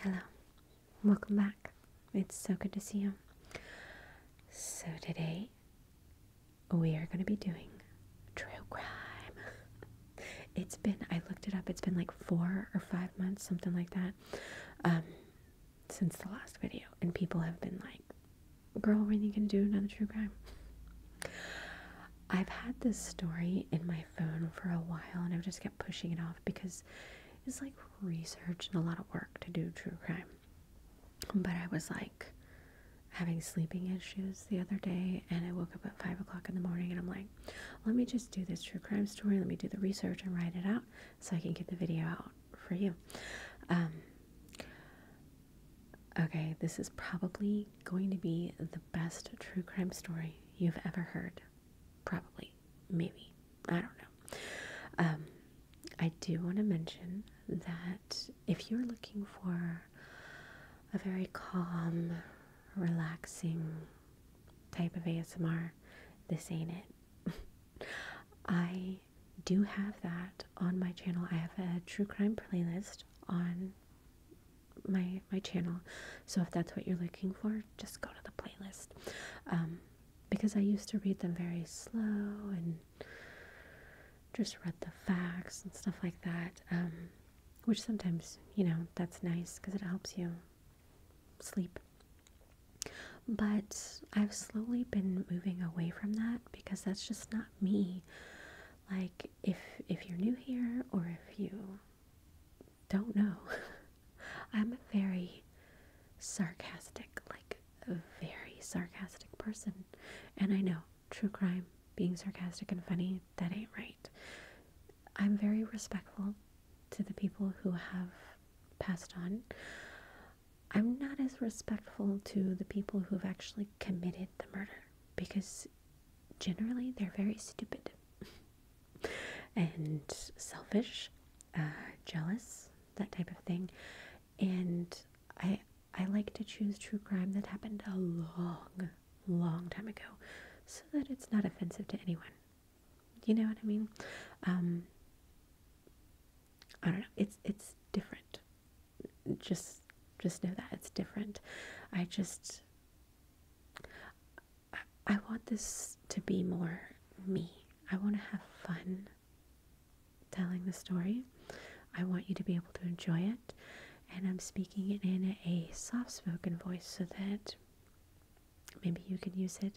Hello, welcome back. It's so good to see you. So, today we are going to be doing true crime. It's been, I looked it up, it's been like four or five months, something like that, um, since the last video, and people have been like, girl, when are you gonna do another true crime? I've had this story in my phone for a while and I've just kept pushing it off because it's like research and a lot of work to do true crime. But I was like having sleeping issues the other day and I woke up at five o'clock in the morning and I'm like, let me just do this true crime story, let me do the research and write it out so I can get the video out for you. Um, Okay, this is probably going to be the best true crime story you've ever heard. Probably. Maybe. I don't know. Um, I do want to mention that if you're looking for a very calm, relaxing type of ASMR, this ain't it. I do have that on my channel. I have a true crime playlist on my my channel so if that's what you're looking for just go to the playlist um, because I used to read them very slow and just read the facts and stuff like that um, which sometimes you know that's nice because it helps you sleep but I've slowly been moving away from that because that's just not me. Like if if you're new here or if you don't know, I'm a very sarcastic, like a very sarcastic person. And I know true crime, being sarcastic and funny, that ain't right. I'm very respectful to the people who have passed on. I'm not as respectful to the people who've actually committed the murder because generally they're very stupid and selfish, uh, jealous, that type of thing. And I I like to choose true crime that happened a long, long time ago, so that it's not offensive to anyone. You know what I mean? Um, I don't know. It's it's different just just know that it's different. I just I, want this to be more me. I want to have fun telling the story. I want you to be able to enjoy it. And I'm speaking it in a soft spoken voice so that maybe you can use it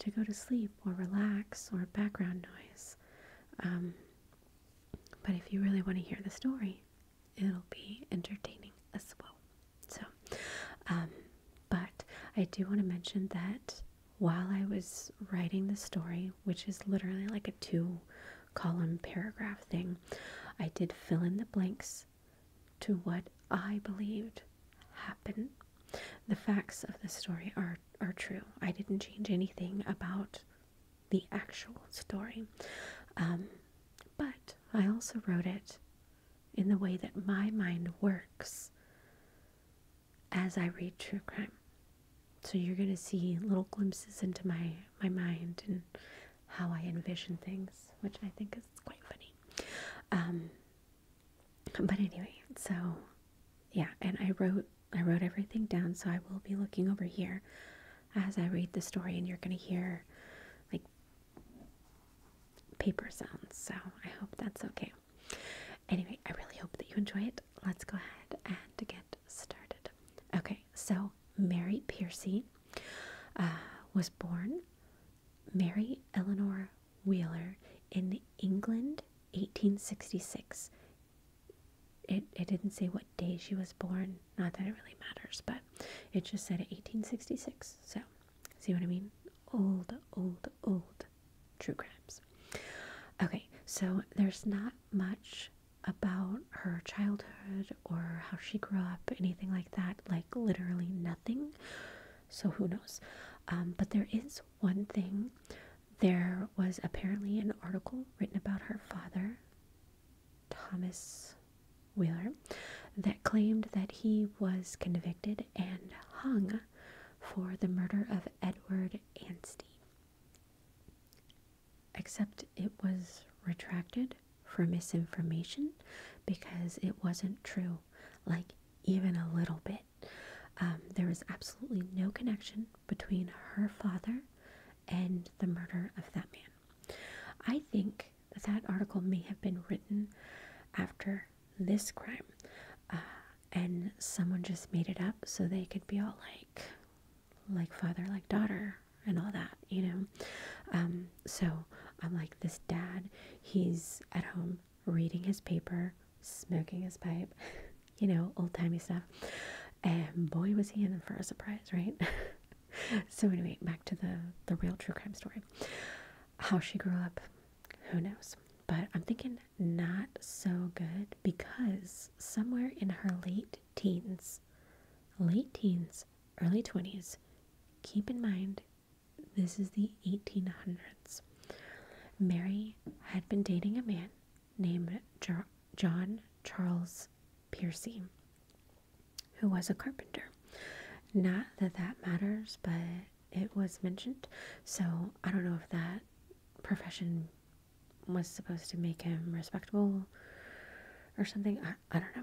to go to sleep or relax or background noise. Um, but if you really want to hear the story, it'll be entertaining as well. So, um, but I do want to mention that while I was writing the story, which is literally like a two column paragraph thing, I did fill in the blanks to what I believed happened. The facts of the story are, are true. I didn't change anything about the actual story. Um, but I also wrote it in the way that my mind works as I read true crime. So you're going to see little glimpses into my, my mind and how I envision things, which I think is quite funny. Um, but anyway, so yeah, and I wrote I wrote everything down, so I will be looking over here as I read the story, and you're going to hear like paper sounds. So I hope that's okay. Anyway, I really hope that you enjoy it. Let's go ahead and get started. Okay, so Mary Piercy uh, was born Mary Eleanor Wheeler in England, 1866 it, it didn't say what day she was born. Not that it really matters, but it just said 1866. So, see what I mean? Old, old, old true crimes. Okay, so there's not much about her childhood or how she grew up, anything like that. Like, literally nothing. So, who knows? Um, but there is one thing there was apparently an article written about her father, Thomas Wheeler, that claimed that he was convicted and hung for the murder of Edward Anstey. Except it was retracted for misinformation because it wasn't true, like even a little bit. Um, there was absolutely no connection between her father and the murder of that man. I think that that article may have been written after this crime, uh, and someone just made it up so they could be all like, like father, like daughter, and all that, you know. Um, so I'm like, this dad, he's at home reading his paper, smoking his pipe. you know, old timey stuff. And boy, was he in for a surprise, right? so anyway, back to the the real true crime story. How she grew up, who knows? But I'm thinking not so good because somewhere in her late teens, late teens, early 20s, keep in mind this is the 1800s. Mary had been dating a man named John Charles Piercy, who was a carpenter. Not that that matters, but it was mentioned. So I don't know if that profession was supposed to make him respectable or something. I, I don't know.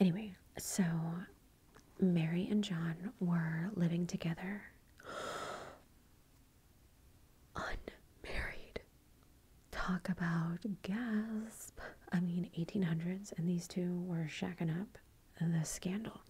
Anyway, so Mary and John were living together unmarried. Talk about gasp. I mean, 1800s, and these two were shacking up the scandal.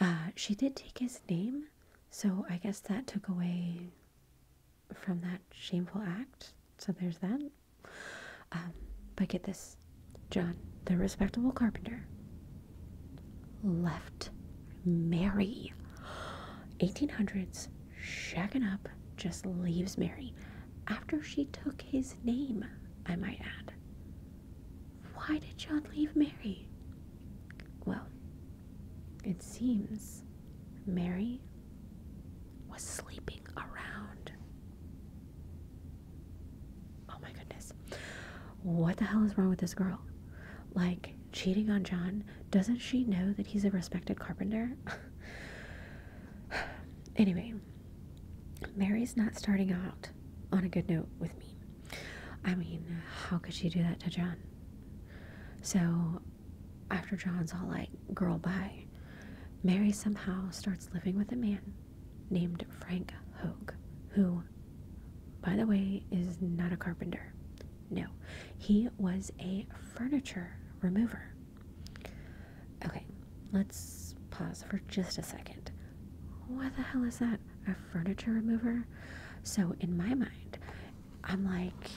Uh, she did take his name, so I guess that took away from that shameful act. So there's that. Um, but get this John, the respectable carpenter, left Mary. 1800s, shagging up, just leaves Mary after she took his name, I might add. Why did John leave Mary? Well, it seems Mary was sleeping around. Oh my goodness. What the hell is wrong with this girl? like cheating on John, doesn't she know that he's a respected carpenter? anyway, Mary's not starting out on a good note with me. I mean, how could she do that to John? So, after John's all like, girl, bye, Mary somehow starts living with a man named Frank Hogue, who, by the way, is not a carpenter. No, he was a furniture remover. Okay, let's pause for just a second. What the hell is that? A furniture remover? So, in my mind, I'm like,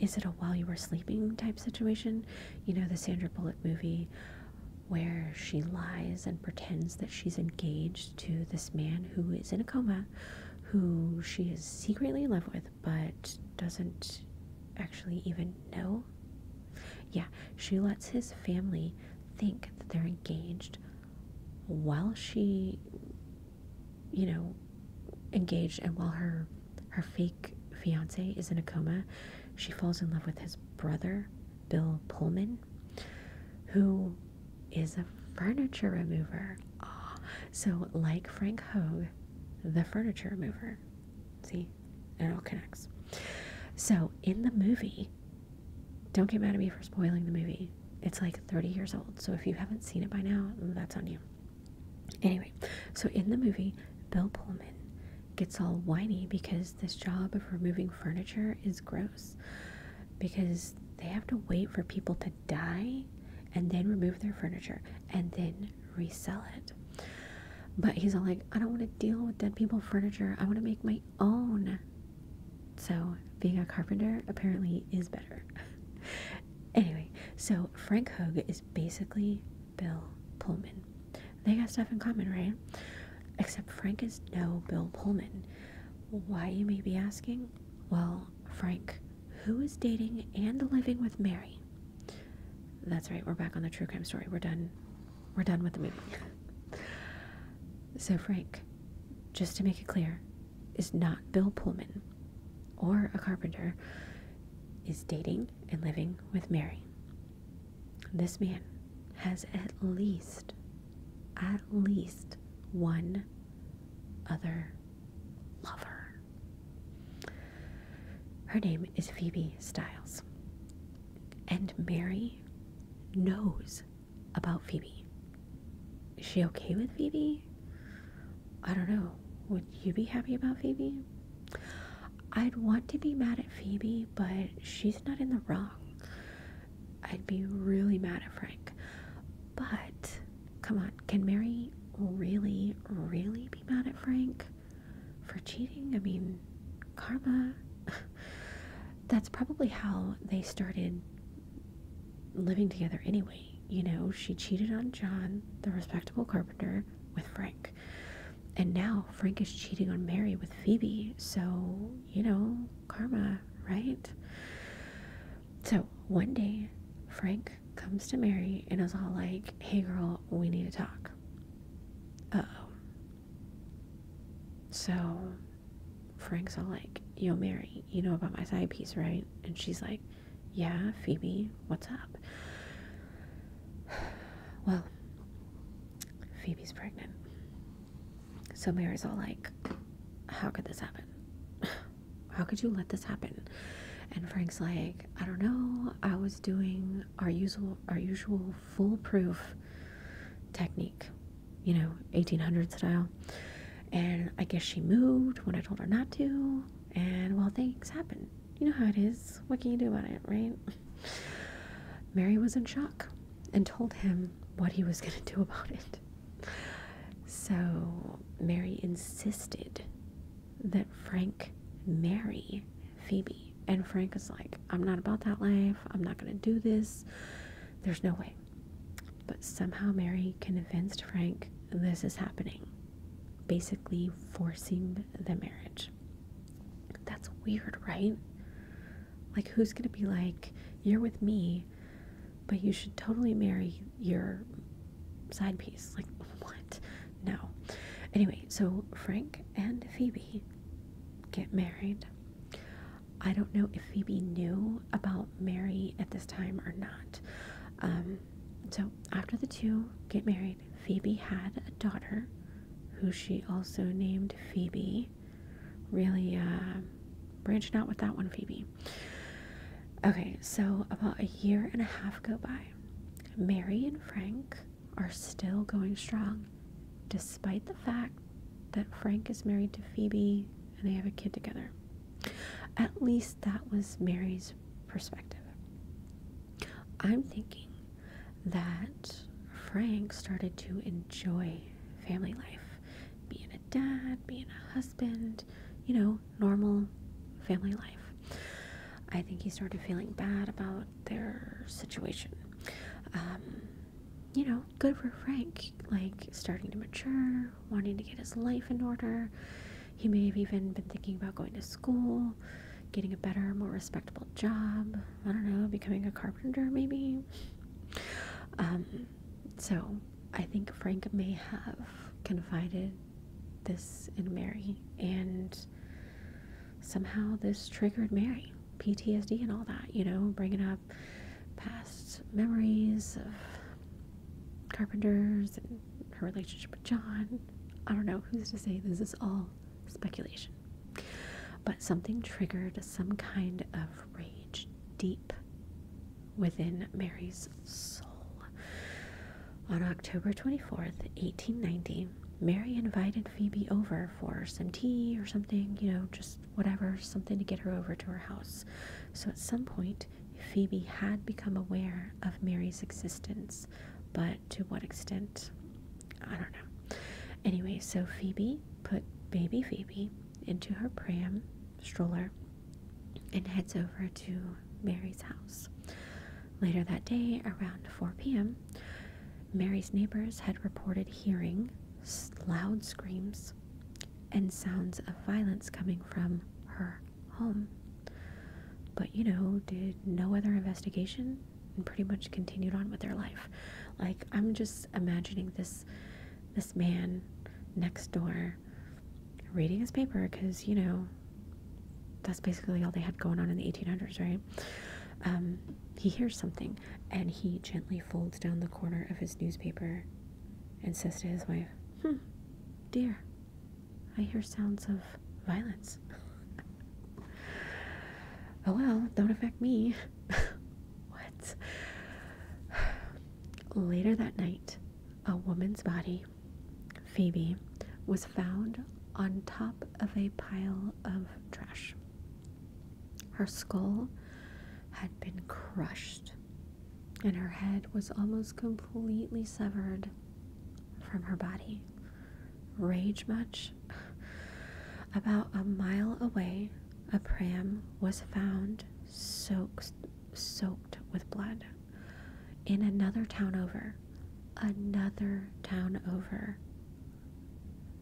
is it a while you were sleeping type situation? You know, the Sandra Bullock movie where she lies and pretends that she's engaged to this man who is in a coma who she is secretly in love with but doesn't actually even know. Yeah, she lets his family think that they're engaged while she you know engaged and while her her fake fiance is in a coma, she falls in love with his brother, Bill Pullman, who is a furniture remover. Oh, so, like Frank Hogue, the furniture remover. See, it all connects. So, in the movie, don't get mad at me for spoiling the movie. It's like 30 years old, so if you haven't seen it by now, that's on you. Anyway, so in the movie, Bill Pullman gets all whiny because this job of removing furniture is gross because they have to wait for people to die and then remove their furniture and then resell it. But he's all like, I don't want to deal with dead people furniture. I want to make my own. So being a carpenter apparently is better. anyway, so Frank Hogue is basically Bill Pullman. They got stuff in common, right? Except Frank is no Bill Pullman. Why, you may be asking? Well, Frank, who is dating and living with Mary? That's right, we're back on the true crime story. We're done. We're done with the movie. so, Frank, just to make it clear, is not Bill Pullman or a carpenter, is dating and living with Mary. This man has at least, at least one other lover. Her name is Phoebe Styles. And Mary knows about Phoebe. Is she okay with Phoebe? I don't know. Would you be happy about Phoebe? I'd want to be mad at Phoebe, but she's not in the wrong. I'd be really mad at Frank. But come on, can Mary really, really be mad at Frank for cheating? I mean, karma. That's probably how they started living together anyway. You know, she cheated on John, the respectable carpenter, with Frank. And now Frank is cheating on Mary with Phoebe. So, you know, karma, right? So one day, Frank comes to Mary and is all like, hey girl, we need to talk. Uh oh. So Frank's all like, yo, Mary, you know about my side piece, right? And she's like, yeah, Phoebe, what's up? Well, Phoebe's pregnant. So Mary's all like, How could this happen? How could you let this happen? And Frank's like, I don't know. I was doing our usual, our usual foolproof technique, you know, 1800 style. And I guess she moved when I told her not to. And well, things happen. You know how it is. What can you do about it, right? Mary was in shock and told him what he was going to do about it. So Mary insisted that Frank marry Phoebe. And Frank is like, I'm not about that life. I'm not going to do this. There's no way. But somehow Mary convinced Frank this is happening, basically forcing the marriage. That's weird, right? Like, who's going to be like, You're with me, but you should totally marry your side piece. Like, what? No. Anyway, so Frank and Phoebe get married. I don't know if Phoebe knew about Mary at this time or not. Um, so, after the two get married, Phoebe had a daughter who she also named Phoebe really, really uh, branching out with that one, Phoebe. Okay, so about a year and a half go by. Mary and Frank are still going strong, despite the fact that Frank is married to Phoebe and they have a kid together. At least that was Mary's perspective. I'm thinking that Frank started to enjoy family life being a dad, being a husband, you know, normal family life. I think he started feeling bad about their situation. Um, you know, good for Frank, like starting to mature, wanting to get his life in order. He may have even been thinking about going to school, getting a better, more respectable job. I don't know, becoming a carpenter maybe. Um, so I think Frank may have confided this in Mary, and somehow this triggered Mary. PTSD and all that, you know, bringing up past memories of carpenters and her relationship with John. I don't know who's to say this is all speculation. But something triggered some kind of rage deep within Mary's soul. On October 24th, 1890, Mary invited Phoebe over for some tea or something, you know, just whatever, something to get her over to her house. So at some point, Phoebe had become aware of Mary's existence, but to what extent, I don't know. Anyway, so Phoebe put baby Phoebe into her pram stroller and heads over to Mary's house. Later that day, around 4 p.m., Mary's neighbors had reported hearing loud screams and sounds of violence coming from her home. But, you know, did no other investigation and pretty much continued on with their life. Like, I'm just imagining this this man next door reading his paper because, you know, that's basically all they had going on in the 1800s, right? Um, he hears something and he gently folds down the corner of his newspaper and says to his wife, Hmm, dear, I hear sounds of violence. oh well, don't affect me. What? Later that night, a woman's body, Phoebe, was found on top of a pile of trash. Her skull had been crushed, and her head was almost completely severed from her body. Rage much? About a mile away, a pram was found soaked, soaked with blood. In another town over, another town over,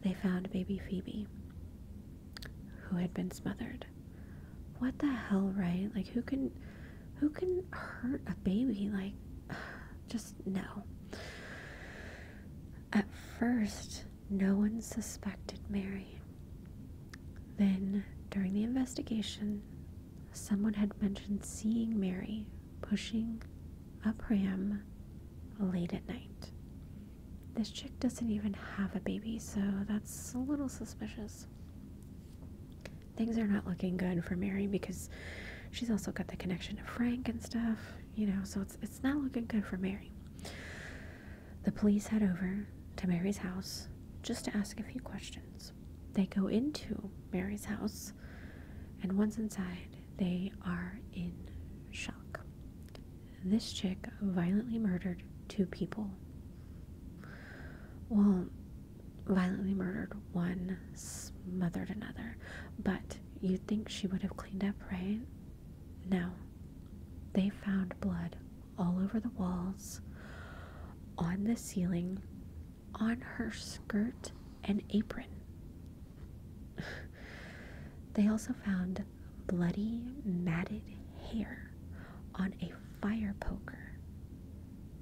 they found baby Phoebe, who had been smothered. What the hell, right? Like, who can, who can hurt a baby? Like, just no. At first, no one suspected Mary. Then, during the investigation, someone had mentioned seeing Mary pushing a pram late at night. This chick doesn't even have a baby, so that's a little suspicious. Things are not looking good for Mary because she's also got the connection to Frank and stuff, you know, so it's, it's not looking good for Mary. The police head over to Mary's house just to ask a few questions. They go into Mary's house, and once inside, they are in shock. This chick violently murdered two people. Well, violently murdered one, smothered another, but you'd think she would have cleaned up, right? Now, they found blood all over the walls, on the ceiling, on her skirt and apron. they also found bloody, matted hair on a fire poker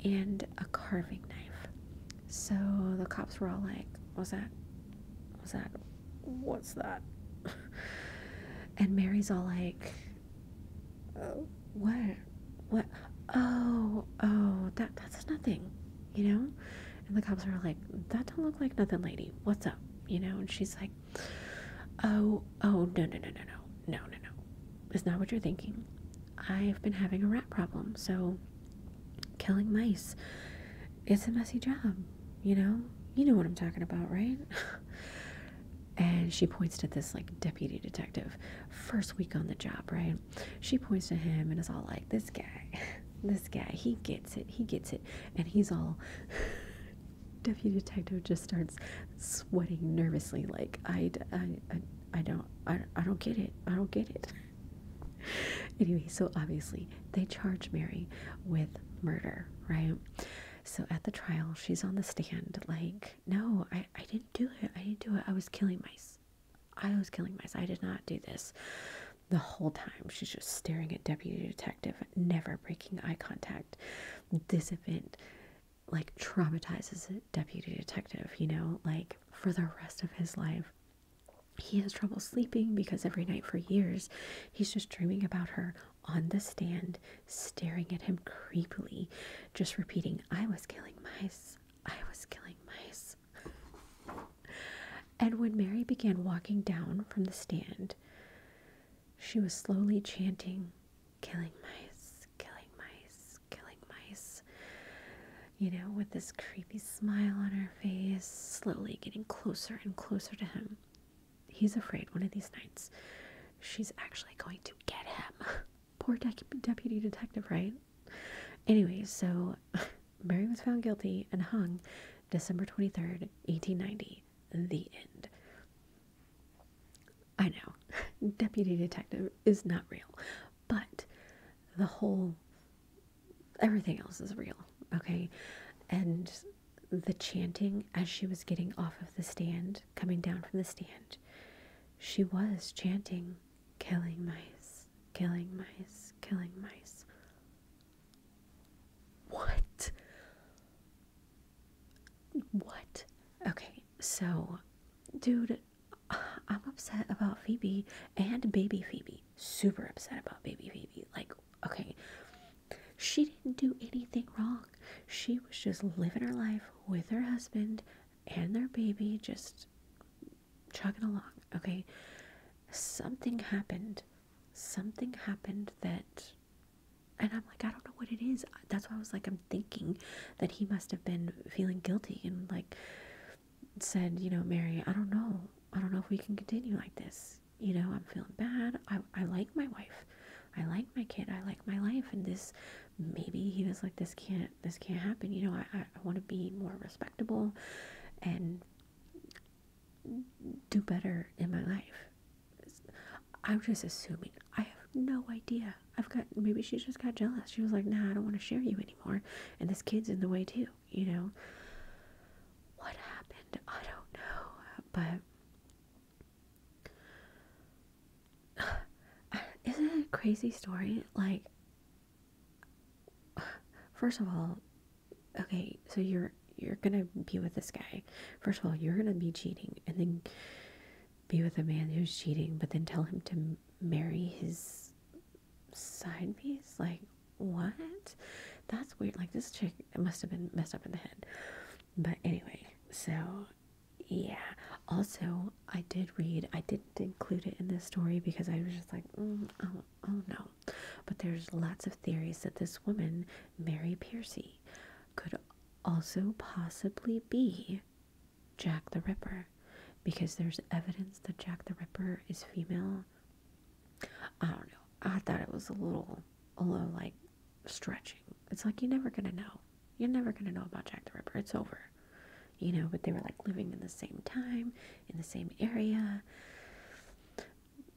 and a carving knife. So the cops were all like, "What's that What's that what's that? and Mary's all like, oh, what? What? Oh, oh, that that's nothing, you know? And the cops are like, that don't look like nothing, lady. What's up? You know? And she's like, oh, oh, no, no, no, no, no, no, no, no. It's not what you're thinking. I've been having a rat problem, so killing mice it's a messy job, you know? You know what I'm talking about, right? and she points to this like deputy detective, first week on the job, right? She points to him and is all like, this guy, this guy, he gets it, he gets it. And he's all, deputy detective just starts sweating nervously, like, I, I, I, I don't, I, I don't get it, I don't get it. Anyway, so obviously they charge Mary with murder, right? So at the trial, she's on the stand, like, no, I, I didn't do it. I didn't do it. I was killing mice. I was killing mice. I did not do this. The whole time, she's just staring at Deputy Detective, never breaking eye contact. This event, like, traumatizes Deputy Detective, you know, like, for the rest of his life. He has trouble sleeping because every night for years he's just dreaming about her on the stand, staring at him creepily, just repeating, I was killing mice, I was killing mice. and when Mary began walking down from the stand, she was slowly chanting, Killing mice, killing mice, killing mice. You know, with this creepy smile on her face, slowly getting closer and closer to him he's afraid one of these nights she's actually going to get him. Poor deputy detective, right? Anyway, so Mary was found guilty and hung December 23rd, 1890. The end. I know, deputy detective is not real, but the whole everything else is real, okay? And the chanting as she was getting off of the stand, coming down from the stand, she was chanting, killing mice, killing mice, killing mice. What? What? Okay, so, dude, I'm upset about Phoebe and baby Phoebe. Super upset about baby Phoebe. Like, okay, she didn't do anything wrong. She was just living her life with her husband and their baby, just chugging along. Okay. Something happened. Something happened that. And I'm like, I don't know what it is. That's why I was like, I'm thinking that he must have been feeling guilty and like said, you know, Mary, I don't know. I don't know if we can continue like this you know I'm feeling bad. I I like my wife, I like my kid, I like my life, and this maybe he was like this can't this can't happen. You know I I, want to be more respectable, and do better in my life. I'm just assuming. I have no idea. I've got maybe she's just got jealous. She was like, "Nah, I don't want to share you anymore," and this kid's in the way too. You know what happened? I don't know, but isn't it a crazy story? Like, first of all, okay, so you're you're gonna be with this guy. First of all, you're gonna be cheating, and then be with a man who's cheating, but then tell him to marry his side piece. Like, what? That's weird. Like, this chick must have been messed up in the head. But anyway, so yeah. Also, I did read, I didn't include it in this story because I was just like, mm, oh, oh no. But there's lots of theories that this woman, Mary Piercy, could also possibly be Jack the Ripper because there's evidence that Jack the Ripper is female I don't know. I thought it was a little, a little like stretching. It's like you're never gonna know. You're never gonna know about Jack the Ripper. It's over. You know, but they were like living in the same time, in the same area.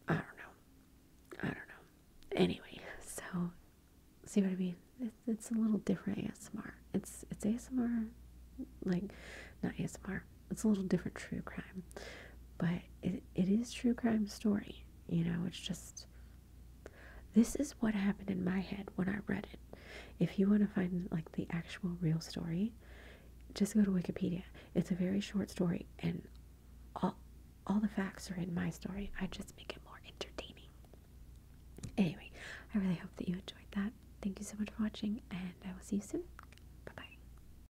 I don't know. I don't know. Anyway, so see what I mean? It's, it's a little different ASMR. It's it's ASMR, like not ASMR it's a little different true crime, but it it is true crime story. You know, it's just this is what happened in my head when I read it. If you want to find like the actual real story, just go to Wikipedia. It's a very short story, and all all the facts are in my story. I just make it more entertaining. Anyway, I really hope that you enjoyed that. Thank you so much for watching, and I will see you soon. Bye bye.